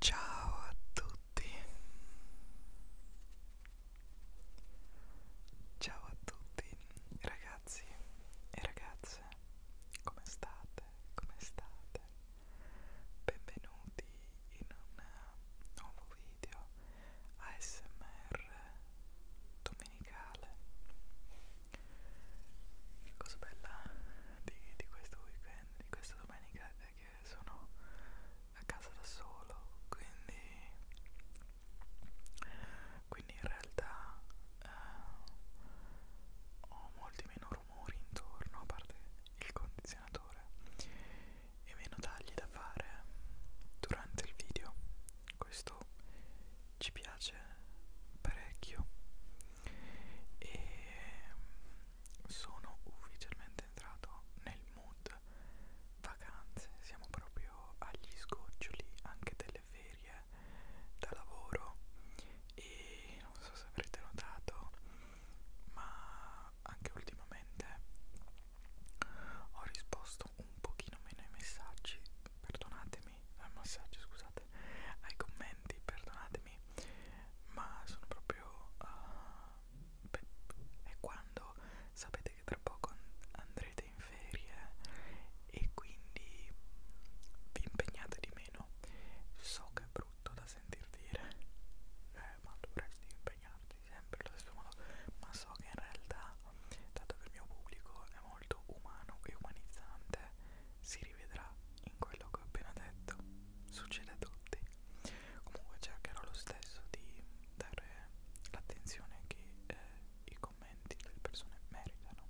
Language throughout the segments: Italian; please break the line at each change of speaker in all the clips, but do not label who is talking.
Ciao a tutti. Ciao a tutti ragazzi e ragazze. Come state? Come state? Benvenuti in un nuovo video ASMR domenica domenicale la cosa bella di, di questo weekend di questa domenica è che sono a casa da solo quindi quindi in realtà eh, ho molti meno rumori intorno a parte il condizionatore e meno tagli da fare durante il video questo ci piace parecchio e mm, sono ufficialmente entrato nel mood vacanze, siamo proprio agli sgoccioli anche delle ferie da lavoro e non so se avrete notato ma anche ultimamente ho risposto risposto un pochino meno ai messaggi, perdonatemi, ai eh, messaggi scusate, ai commenti, perdonatemi, ma sono proprio... Uh, beh, è quando sapete che tra poco andrete in ferie e quindi vi impegnate di meno. So che è brutto da sentir dire, eh, ma dovresti impegnarti sempre allo stesso modo, ma so che in realtà ma dato che il mio pubblico è molto umano e umanizzante, si rivedrà in quello che ho appena detto. Succede a tutti. Comunque cercherò lo stesso di dare l'attenzione che eh, i commenti delle persone meritano.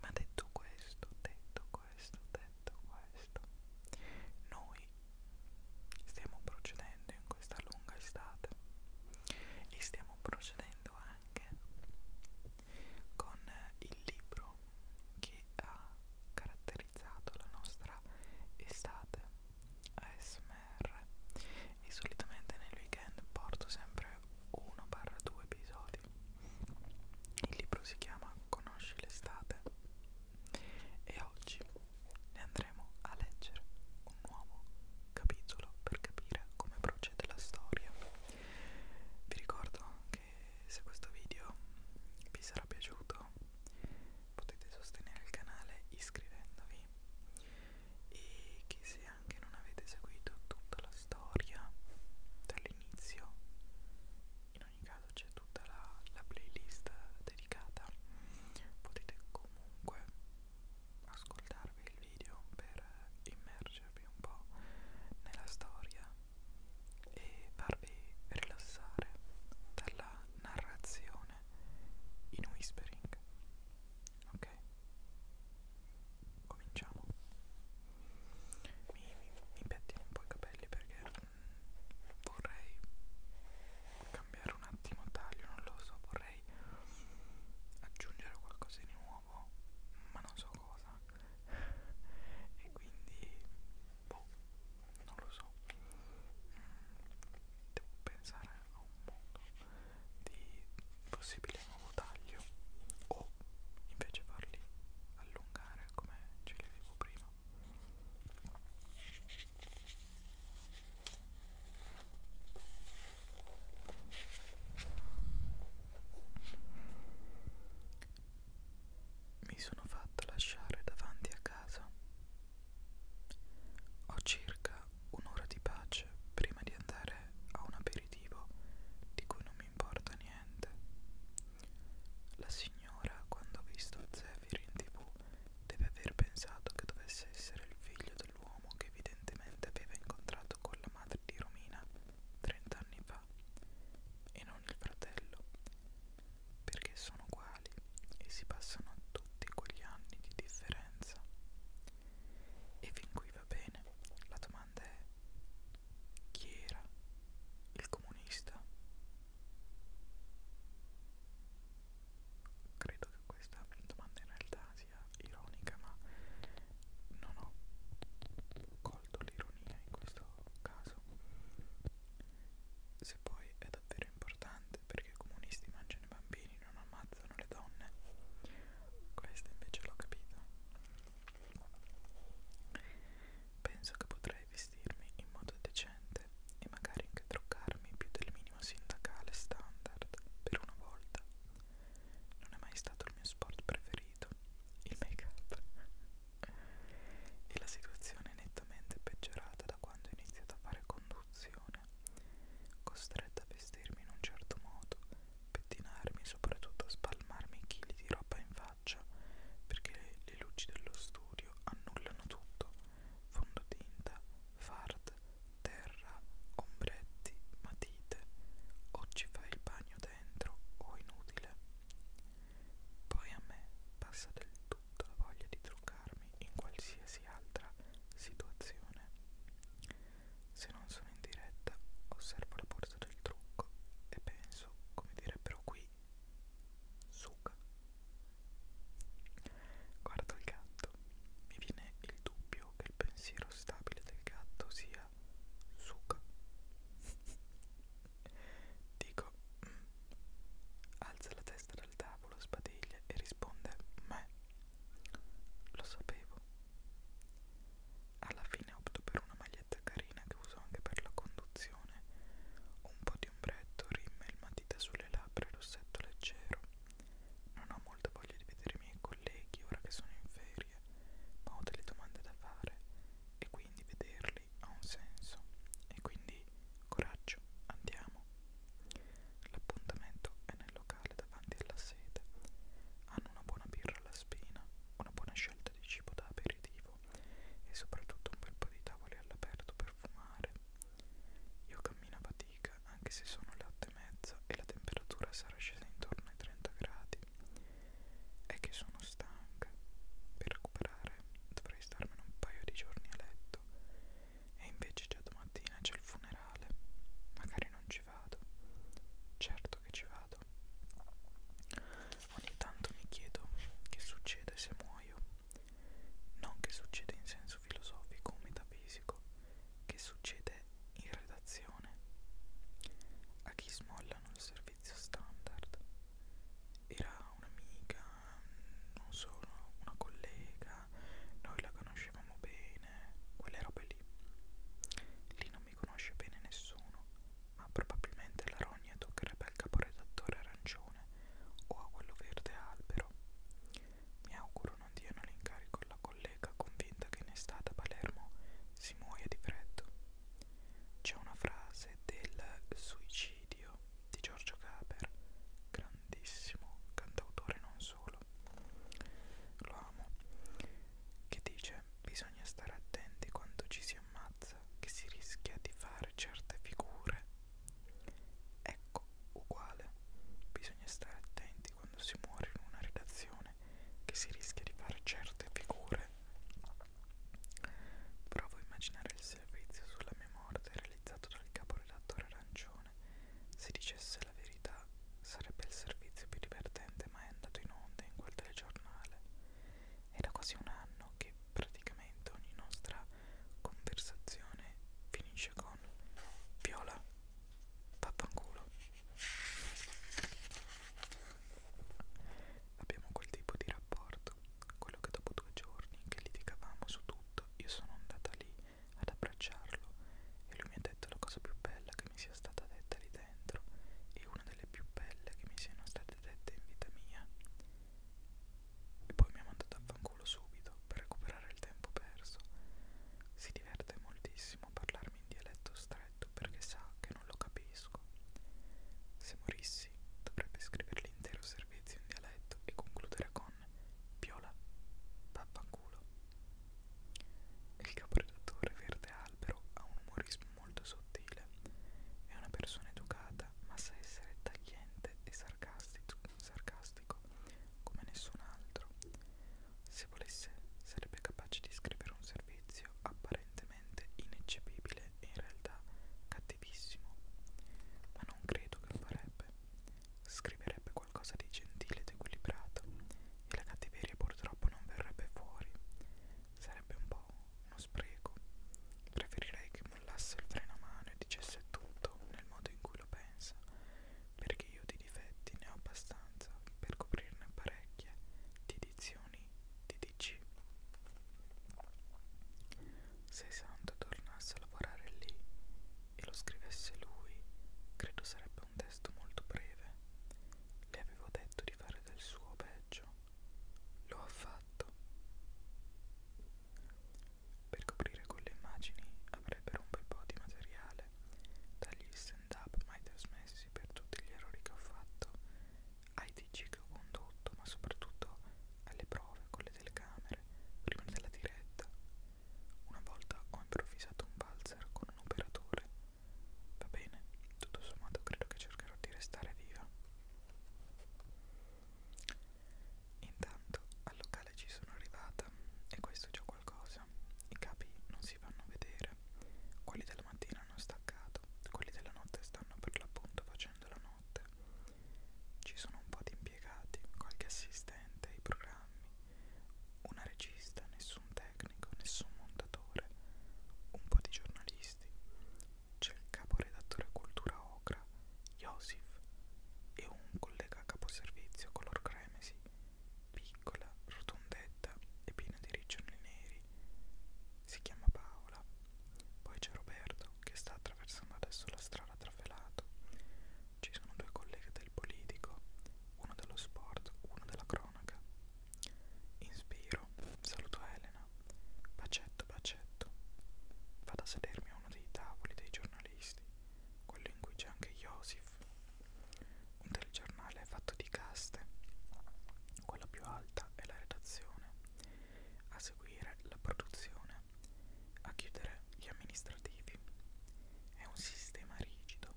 Ma detto questo, detto questo, detto questo, noi stiamo procedendo in questa lunga estate e stiamo procedendo anche con il libro che ha caratterizzato la nostra estate ASMR e solitamente nel weekend porto sempre 1-2 episodi il libro si chiama Conosci l'estate e oggi ne andremo andremo a leggere un nuovo capitolo per capire come procede la storia. Vi ricordo che se questo video vi sarà piaciuto potete sostenere il canale iscrivendovi e che se anche non avete seguito tutta la storia dall'inizio in ogni caso c'è tutta la, la playlist dedicata potete comunque ascoltarvi il video per immergervi un po' nella storia e farvi rilassare dalla narrazione in whispering. Ok? Cominciamo. Mi, mi, mi pettino un po' i capelli perché mm, vorrei cambiare un attimo taglio, non lo so, vorrei aggiungere qualcosa di nuovo, ma non so cosa. e quindi boh, non lo so. Mm, devo pensare a un modo di possibile nuovo taglio o invece farli allungare come ce li avevo prima. Mi sono fatta lasciare davanti a casa. Ho circa un'ora di pace prima di andare a un aperitivo di cui non mi importa niente. La signora, quando ha visto Zephyr in tv, deve aver pensato che dovesse essere il figlio del dell'uomo che evidentemente aveva incontrato con la madre di Romina 30 anni fa e non il fratello, perché sono uguali e si passano tutti quegli anni di differenza. E fin qui va bene, la domanda è chi era il comunista? Credo che questa domanda in realtà sia sia ironica ma non ho colto l'ironia in questo caso se poi è davvero importante perché i comunisti mangiano i bambini non ammazzano le donne questa invece l'ho capita penso che potrei vestirmi in modo decente e magari anche truccarmi più del mio minima sindacale standard per una volta. Non è mai stato il mio sport preferito, il make-up. e la situazione è nettamente peggiorata da quando ho iniziato a fare conduzione, costretta a vestirmi in un certo modo, pettinarmi e soprattutto a spalmarmi chili di roba in faccia, perché le, le luci dello studio annullano tutto, fondotinta, fard, terra, ombretti, matite, o ci fai il bagno dentro o inutile. Poi a me passa del tutto la voglia di truccarmi in qualsiasi altra situazione. Se non sono in diretta, osservo la borsa del trucco e penso, come direbbero qui, suga. Guardo il gatto, mi viene il dubbio che il pensiero stabile del gatto sia suca. Dico, mm, alza la testa dal tavolo, sbadiglia e risponde, me. Lo sapevo. Alla fine opto per una maglietta carina che uso anche per la conduzione, un po' di ombretto, rimel, matita sulle labbra e rossetto leggero. Non ho molta voglia di vedere i miei colleghi ora che sono in ferie, ma ho delle domande da fare e quindi vederli ha un senso. E quindi coraggio, andiamo. L'appuntamento è nel locale davanti alla sede. Hanno una buona birra alla spina, una buona scelta di cibo da aperitivo e soprattutto un bel po' di tavoli all'aperto per fumare io cammino a fatica anche se sono le 8 e mezza e la temperatura sarà scesa intorno ai 30 gradi. È che sono stanca. Per recuperare dovrei starmene un paio di giorni a letto. E invece già domattina c'è il funerale. Magari non ci vado. Certo che ci vado. Ogni tanto mi chiedo che succede se muoio. Non che succede in senso filosofico o metafisico, che succede in redazione. A chi smollano il servizio standard. Era un'amica, non solo una collega, noi la conoscevamo bene, quelle robe lì. Lì non mi conosce bene nessuno, ma probabilmente la rogna toccherebbe al caporedattore arancione o a quello verde albero. Mi auguro non diano l'incarico alla collega convinta che in estate a Palermo si muoia di freddo. C'è una frase del suicidio di Giorgio Gaber, grandissimo cantautore non solo, lo amo, che dice bisogna stare attenti quando ci si ammazza che si rischia di fare certe figure Ecco, uguale, bisogna stare attenti quando si muore in una redazione che si rischia di fare certe figure. Provo a immaginare il servizio sulla mia morte realizzato dal caporedattore arancione. Se dicesse la verità sarebbe il servizio più divertente mai andato in onda in quel telegiornale. È da quasi un anno che praticamente ogni nostra conversazione finisce con Viola, pappanculo. Abbiamo quel tipo di rapporto, quello che dopo due giorni che litigavamo su tutto, io sono andata lì ad abbracciarlo e lui mi ha detto la cosa più bella che mi sia stata detta lì dentro e una delle più belle che mi siano state dette in vita mia e poi mi ha mandato a fanculo subito per recuperare il tempo perso. Si diverte moltissimo a parlarmi in dialetto stretto perché sa che non lo capisco. Se morissi dovrebbe scrivere l'intero servizio in dialetto e concludere con Piola, vaffanculo. Il caporedattore Verde Albero ha un umorismo molto sottile, è una persona educata ma sa essere tagliente e sarcastico sarcastico, sarcastico come nessun altro. Se volesse, sarebbe capace di scrivere un servizio apparentemente ineccepibile e in realtà cattivissimo. Ma non credo che lo farebbe. Scriverebbe qualcosa di gentile ed equilibrato e la cattiveria purtroppo non verrebbe fuori. Sarebbe un po' uno spreco. Preferirei che mollasse il freno a mano e dicesse tutto nel modo in cui lo pensa, perché io di difetti ne ho abbastanza per coprirne parecchie, di dizioni, di dici. Se Santo tornasse a lavorare lì e lo scrivesse lui, credo sarebbe un testo molto breve. Le avevo detto di fare del suo peggio. Lo ha fatto. Per coprire quelle immagini avrebbero un bel po' di materiale, dagli stand-up mai trasmessi per tutti gli errori che ho fatto, ai TG che ho condotto, ma soprattutto alle prove con le telecamere, prima della diretta. Una volta ho improvvisato un valzer con un operatore. Va bene, tutto sommato credo che cercherò di restare viva. Intanto al locale ci sono arrivata e questo è già qualcosa. I capi non si vanno a vedere. Quelli della mattina hanno staccato, quelli della notte stanno per l'appunto facendo la notte. Ci sono un po' di impiegati, qualche assistente ai programmi, una regista, nessun tecnico, nessun montatore, un po' di giornalisti. C'è il caporedattore Cultura Ocra Iosif e un collega caposervizio color cremesi, piccola, rotondetta e piena di riccioli neri. Si chiama Paola. Poi c'è Roberto che sta attraversando adesso la strada tra Felato. Ci sono due colleghi del politico, uno dello sport, uno della cronaca. Inspiro, saluto Elena, bacetto, bacetto. Vado a sedermi a uno dei tavoli dei giornalisti questi, quello in cui c'è anche Joseph. Un telegiornale è fatto di caste, quella più alta è la redazione, a seguire la produzione, a chiudere gli amministrativi. È un sistema rigido,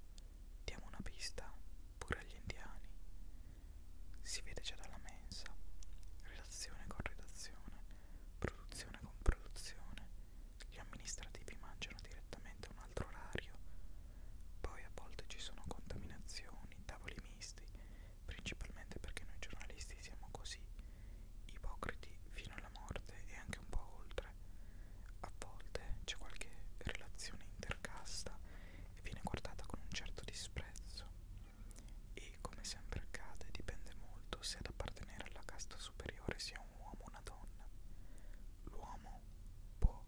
diamo una pista pure agli indiani. Si vede già dalla mensa, redazione con redazione, Produzione con produzione, gli amministrativi mangiano direttamente a un altro orario. Poi a volte ci sono contaminazioni, tavoli misti, principalmente perché noi giornalisti siamo così, ipocriti fino alla morte e anche un po' oltre. A volte c'è qualche relazione intercasta e viene guardata con un certo disprezzo. E Qui, come sempre accade, dipende molto se ad appartenere alla casta superiore sia un uomo o una donna. L'uomo può,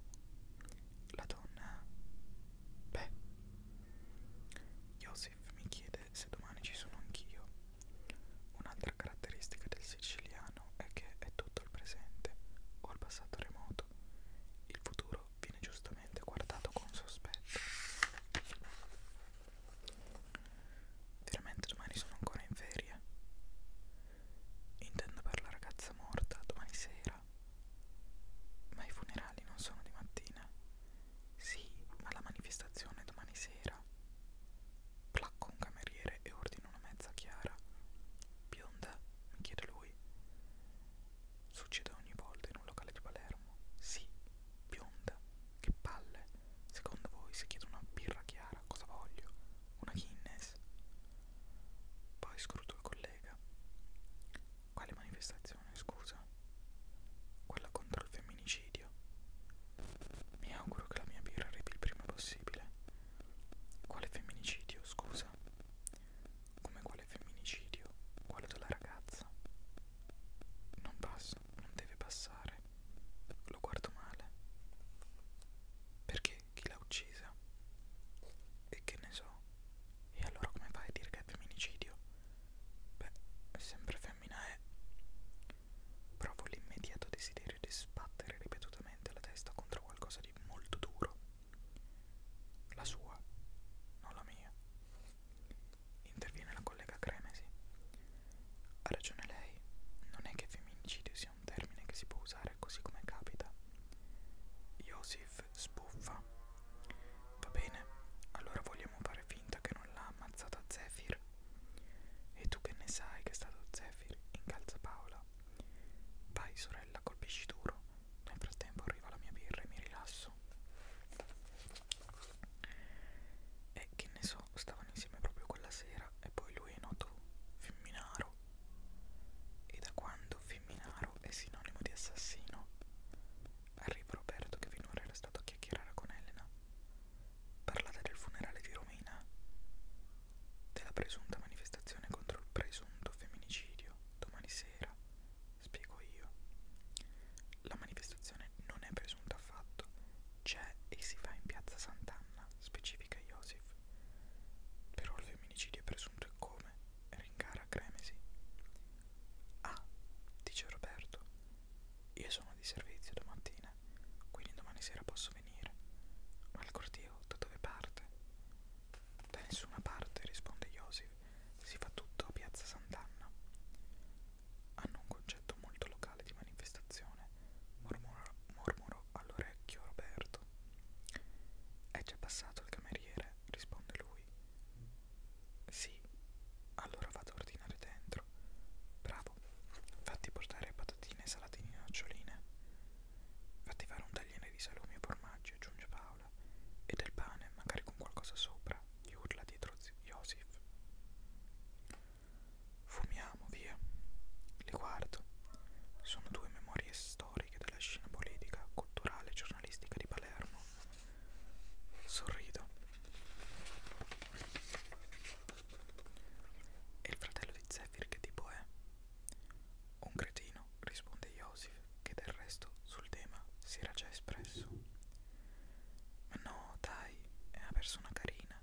la donna beh. Joseph mi chiede se domani ci sono anch'io. Un'altra caratteristica del siciliano è che è tutto il presente o il passato remoto. Il futuro viene giustamente guardato con sospetto. Veramente domani sono ancora in ferie. Intendo per la ragazza morta domani sera. Ma i funerali non sono di mattina. Sì, ma la manifestazione è domani sera. Placco un cameriere e ordino una mezza chiara. Bionda? mi chiede lui. Succede ogni volta in un locale di Palermo. Sì, bionda. Che palle. Secondo voi se chiedo una birra chiara cosa voglio? Una Guinness? Poi scruto il collega. Quale manifestazione, scusa? Quella contro il femminicidio. Mi auguro che la mia birra arrivi il prima possibile. Quale femminicidio, scusa? Come quale femminicidio? Quello della ragazza. Non passa, non deve passare. Lo guardo male. Perché chi l'ha uccisa? E che ne so? E allora come fai a dire che è femminicidio? Beh, è sempre femmina è. Eh. Provo l'immediato desiderio di sbattere ripetutamente la testa contro qualcosa di molto duro. La sua, non la mia interviene la collega Cremesi. Ha ragione lei, non è che femminicidio sia un termine che si può usare così come capita. Josif sbuffa. Va bene, allora vogliamo fare finta che non l'ha ammazzata Zephyr. E tu che ne sai che è stato Zephyr? Incalza Paola. Vai sorella, colpisci duro. Nel frattempo arriva la mia birra e mi rilasso. E che ne so, stavano insieme proprio quella sera e poi lui è noto Femminaro. E da quando Femminaro è sinonimo di assassino, arriva Roberto che finora era stato a chiacchierare con Elena. Parlate del funerale di Romina, della presunta manifestazione contro il presunto femminicidio domani sera, spiego io. La manifestazione non è presunta affatto, c'è e si fa in piazza Sant'Anna, specifica Iosif. Però il femminicidio è presunto e come? Rincara Cremesi. Ah, dice Roberto, io sono di servizio domattina, quindi domani sera posso venire. Ma il corteo da dove parte? Da nessuna parte, risponde Iosif, si fa tutto a piazza Sant'Anna hanno un concetto molto locale di manifestazione, mormorò, mormorò all'orecchio Roberto. Eh, è già passato il cameriere, risponde lui. Sì, allora vado a ordinare dentro. Bravo, fatti portare patatine e salatini e noccioline. Fatti fare un tagliere di salumi e formaggi, aggiunge Paola, e del pane, magari con qualcosa sopra gli urla dietro Joseph. Fumiamo, via. Li guardo. Sono due memorie storiche della scena politica, culturale e giornalistica di Palermo. Sorrido. E il fratello di Zephyr che tipo è? Un cretino, risponde Joseph, che del resto sul tema si era già espresso. Ma no, dai, è una persona carina,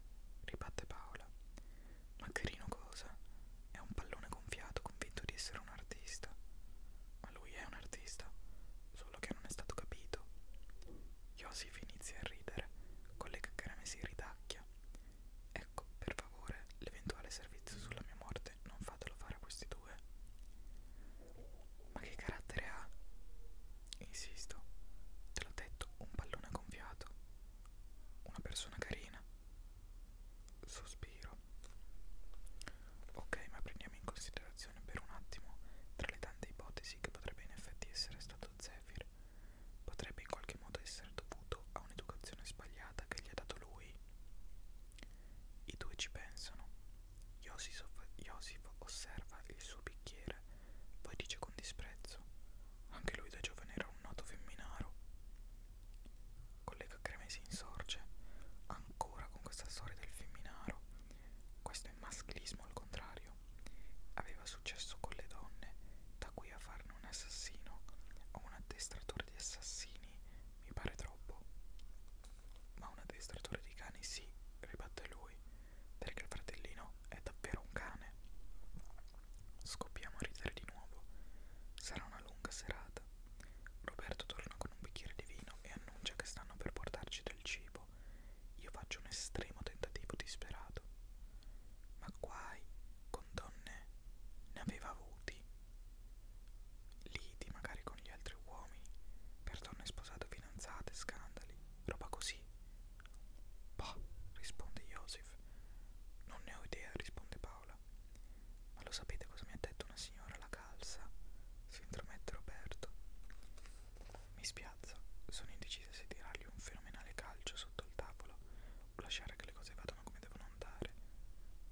ribatte Paola. Ma carino cosa? È un pallone gonfiato convinto di essere un artista. Ma lui è un artista, solo che non è stato capito. Iosif inizia a ridere, collega Carame si ridacchia. Ecco, per favore, l'eventuale servizio sulla mia morte non fatelo fare a questi due. Ma che carattere ha? Insisto, te l'ho detto, un pallone gonfiato. Una persona carina. Sospiro. Ok, ma prendiamo in considerazione per un attimo tra le tante ipotesi che potrebbe in effetti essere stato Zephyr. Potrebbe in qualche modo essere dovuto a un'educazione sbagliata che gli ha dato lui. I due ci pensano. Iosif, Iosif osserva il suo bicchiere, poi dice con disprezzo: Anche lui da giovane era un noto femminaro. Collega Cremesi insorge, ancora con questa storia del femminaro. Questo è maschilismo al contrario. Aveva successo con le donne, da qui a farne un assassino o un addestratore di assassini mi pare troppo ma un addestratore di cani sì, ribatte lui, perché il fratellino è davvero un cane. Scoppiamo a ridere di nuovo. Sarà una lunga serata. Roberto torna con un bicchiere di vino e annuncia che stanno per portarci del cibo. Io faccio un estremo tentativo disperato. Ma guai, con donne ne aveva avuti. Liti magari con gli altri uomini, per donne sposate fidanzate, scandali, roba così. Bah, risponde Joseph. Non ne ho idea, risponde Paola. Ma lo sapete cosa mi ha detto una signora alla calza? Si intromette Roberto. Mi spiazza, sono indecisa se tirargli un fenomenale calcio sotto il tavolo o lasciare che le cose vadano come devono andare.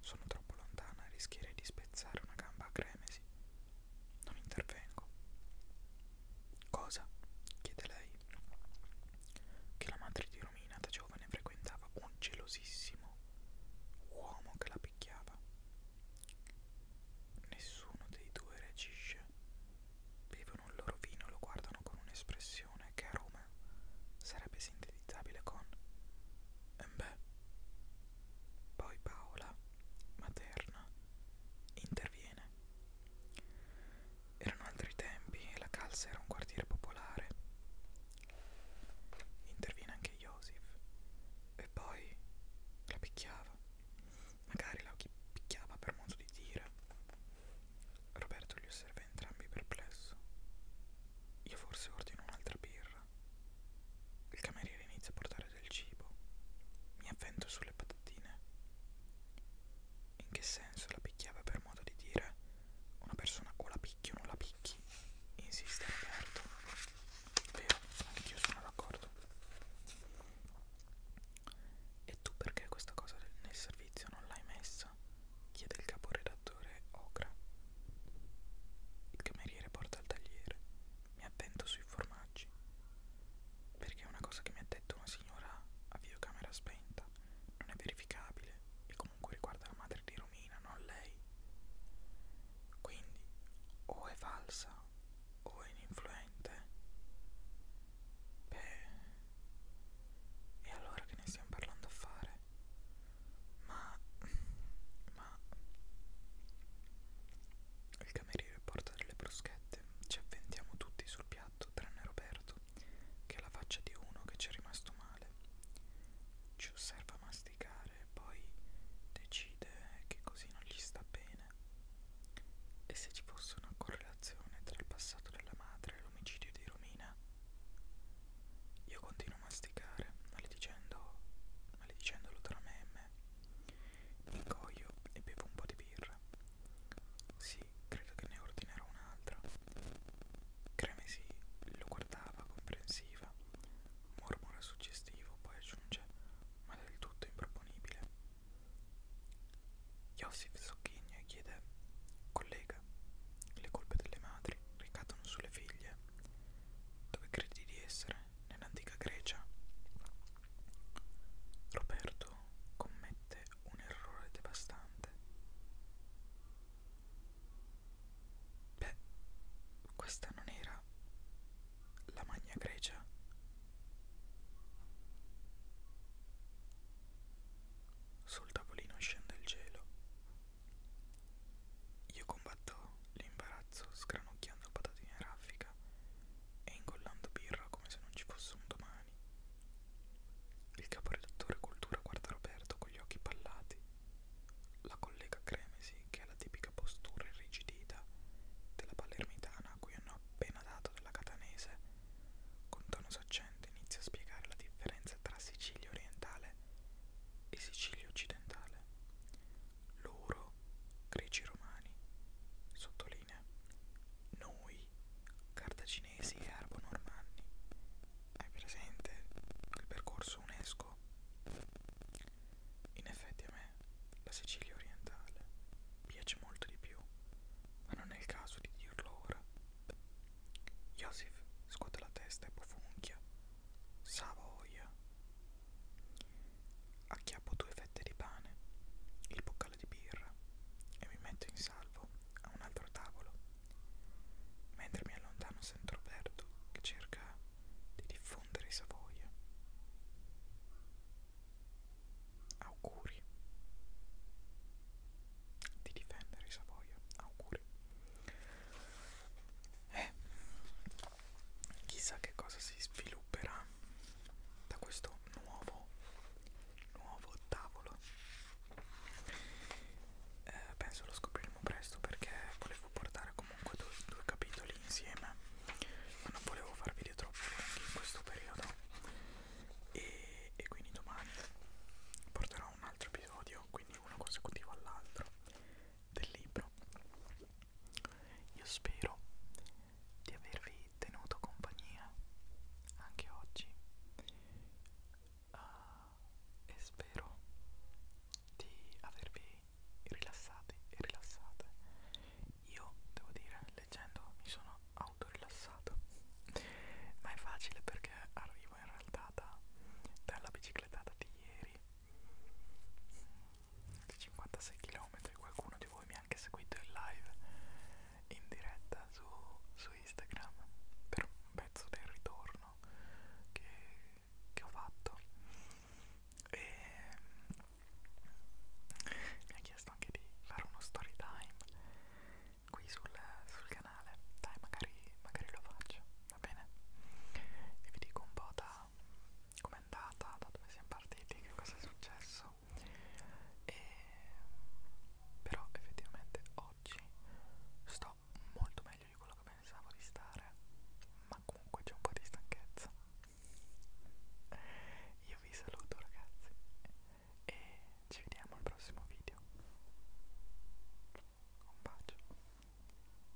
Sono troppo lontana e rischierei di spezzare una gamba a cremesi. Non intervengo. Cosa? chiede lei. Che la madre di Romina da giovane frequentava un gelosissimo uomo che la picchiava. Nessuno dei due reagisce. Bevono il loro vino e lo guardano con un'espressione che a Roma sarebbe sintetizzabile con. Eh beh. Poi Paola materna interviene. Erano altri tempi e la Calza era un quartiere popolare. Interviene anche Joseph e poi la picchiava. Magari la picchiava per modo di dire. Roberto li osserva entrambi perplesso. Io forse ordino un'altra birra. Il cameriere inizia a portare del cibo. Mi avvento sulle patatine. In che senso la picchiava per modo di dire? Una persona o la picchi o non la picchi? Insiste Roberto. Vero, anch'io sono d'accordo. E tu perché questa cosa nel servizio non l'hai messa? chiede il caporedattore Ocra. Il cameriere porta il tagliere. Mi avvento sui formaggi messaggi perché è una cosa che mi ha detto una signora a videocamera spenta non è verificabile e comunque riguarda la madre di Romina, non lei. Quindi o è falsa o è ininfluente. Beh, e allora che ne stiamo parlando a fare? Ma, ma, il cameriere porta delle bruschette, ci avventiamo tutti sul piatto, tranne Roberto, che ha la faccia di uno che ci è rimasto male. Ci osserva masticare, poi decide che così non gli sta bene. E se ci fosse una correlazione tra il passato della madre e l'omicidio di Romina? Io continuo a masticare, maledicendo, maledicendolo tra me e mi ingoio e bevo un po' di birra. Sì, credo che ne ordinerò un'altra. Cremesi lo guardava comprensiva, mormora suggestivo, poi aggiunge, ma del tutto improponibile. Josif sogghigna e chiede, collega, le colpe delle madri ricadono sulle figlie. Dove credi di essere? nell'antica Grecia. Roberto commette un errore devastante. Beh, questa non era la Magna Grecia. Sul tavolino scende il gelo. Io combatto l'imbarazzo terrazzo sgranocchiando patatine a raffica e ingollando birra come se non ci fosse un domani. Il caporedattore Cultura guarda Roberto con gli occhi pallati. La collega Cremesi, che ha la tipica postura irrigidita della palermitana a cui hanno appena dato della catanese, con tono saccente inizia a spiegare la differenza tra Sicilia orientale e Sicilia occidentale, loro, greci romani, sottolinea, noi, cartaginesi e arbo-normanni. Hai presente il percorso UNESCO? In effetti a me la Sicilia orientale piace molto di più, ma non è il caso di dirlo ora. Iosif scuote la testa e bofunchia. Savoia. Acchiappo due fette di pane, il boccale di birra e mi metto in salvo a un altro tavolo. Mentre mi allontano sento Roberto che cerca di diffondere i Savoia. Auguri. Di difendere i Savoia. Auguri. Eh, chissà che cosa si svilupperà da questo nuovo nuovo tavolo eh, penso lo scopriremo presto perché volevo portare comunque due, due capitoli insieme ma non volevo far video troppo lunghi in questo periodo e, e quindi domani porterò un altro episodio quindi uno consecutivo all'altro del libro io spero di avervi tenuto compagnia anche oggi uh, e spero di avervi rilassati e rilassate. Io devo dire, leggendo mi sono autorilassato, ma è facile perché arrivo in realtà da, dalla biciclettata di ieri 56 km qualcuno di voi mi ha anche seguito in live in diretta su, su Instagram per un pezzo del ritorno che, che ho fatto e ehm, mi ha chiesto anche di fare uno story time qui sul, sul canale dai magari, magari lo faccio va bene e vi dico un po' da com'è andata, da dove siamo partiti, che cosa è successo e però effettivamente oggi sto molto meglio di quello che pensavo di stare ma comunque c'è un po' di stanchezza io vi saluto ragazzi e ci vediamo al prossimo video un bacio